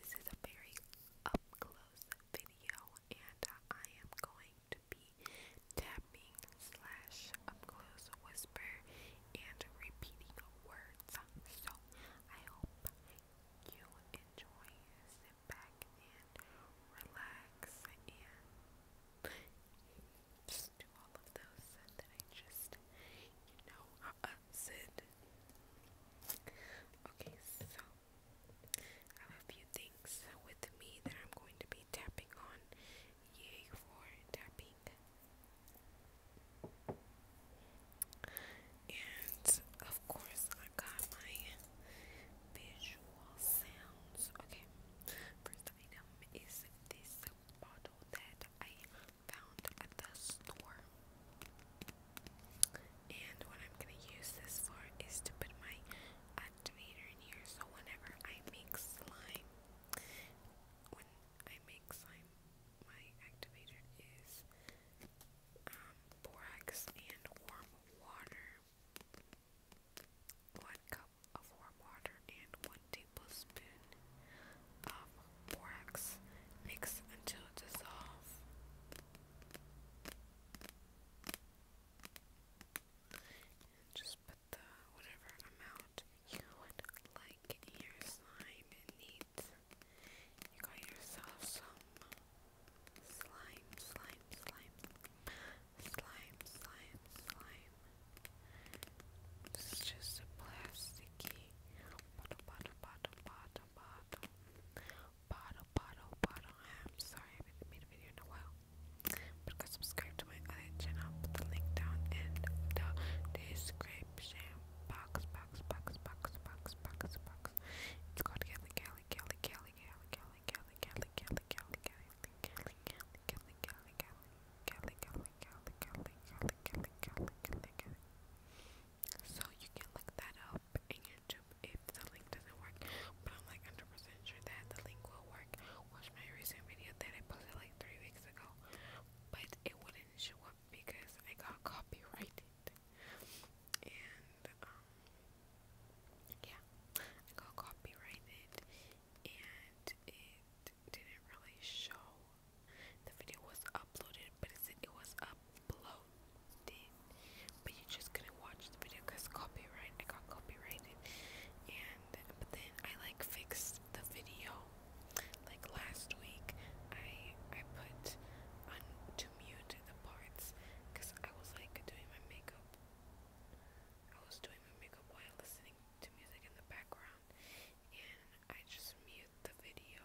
This is a very up close video, and I am going to be tapping slash up close whisper and repeating words. So I hope you enjoy. Sit back and relax and do all of those that I just, you know, that's Okay, so I have a few things with me that I'm going to be tapping on. Yay for tapping. And of course, I got my visual sounds. Okay, first item is this bottle that I found at the store. And what I'm gonna use this for is to put my activator in here so whenever I make slime when I make slime my activator is um, borax and warm water. One cup of warm water and one tablespoon of borax. Mix until dissolved. And just put the whatever amount you would like your slime it needs. You got yourself some slime, slime, slime, slime, slime, slime. This is just a plasticky bottle, bottle, bottle, bottle, bottle bottle, bottle, bottle. I'm sorry, I haven't made a video in But go subscribe to my other channel. Put the link down in the description box, box, box, box, box, box, box. It's called Kelly, Kelly, Kelly, Kelly, Kelly, Kelly, Kelly, Kelly, Kelly. Kelly, Kelly, Kelly, Kelly, Kelly, Kelly, Kelly, Kelly, Kelly. So you can look that up shop YouTube if the link doesn't work, but I'm like 100% sure that the link will work. Watch my recent video that I posted like three weeks ago, but it wouldn't show up because I got copyrighted. And, um, yeah, I got copyrighted and it didn't really show the video was uploaded, but it said it was uploaded, but you just couldn't watch the video because copyright. I got copyrighted, and but then I like fixed the video. Like last week, I I put on to mute the parts because I was like doing my makeup. I was doing my makeup while listening to music in the background, and I just mute the video.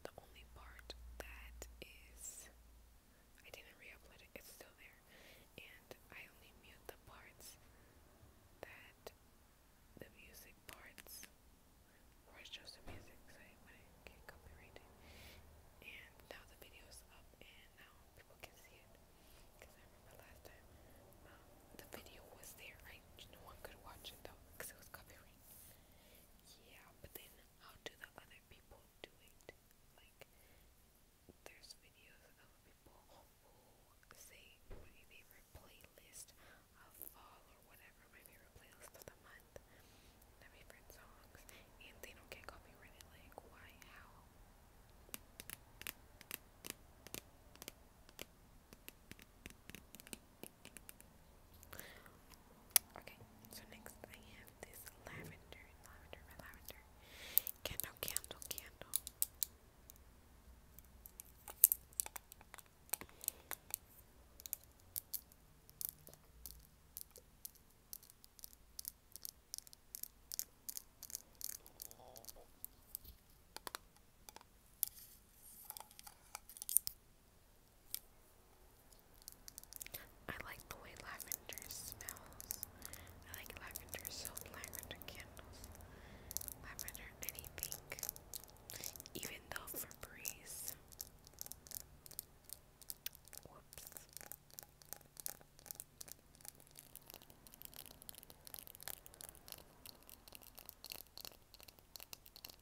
The only part that is I didn't re it, it's still there. And I only mute the parts that the music parts where it's music so I wouldn't And now the video up and now people can see it. Because remember last time um, the video was there, right? No one could watch it though because it was copyrighted yeah, but then how do the other people do it? Like, there's videos of people who say my favorite playlist of fall or whatever, my favorite playlist of the month, my favorite songs, and they don't get copyrighted. Like, why? How? Okay, so next I have this lavender, lavender, lavender candle, candle, candle. I like the way lavender smells. I like lavender soap, lavender candles, lavender anything. Even though Febreze.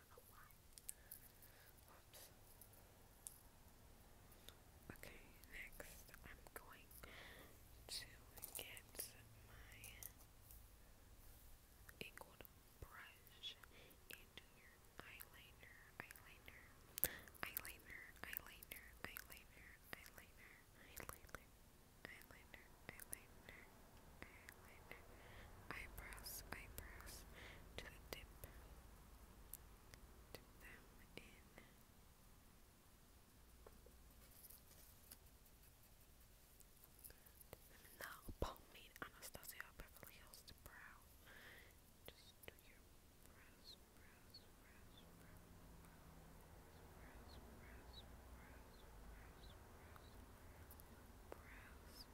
don't Okay, next I'm going to get my angled brush into your eyeliner, eyeliner, eyeliner, eyeliner, eyeliner, eyeliner, eyeliner, eyeliner, eyeliner eyeliner, eyebrows, eyebrows to the tip. Dip in. Dip them in Anastasia Beverly Hills brow. Just do your brows, brows, brows, brows, brows, brows, brows, brows neatly, neatly, neatly, neatly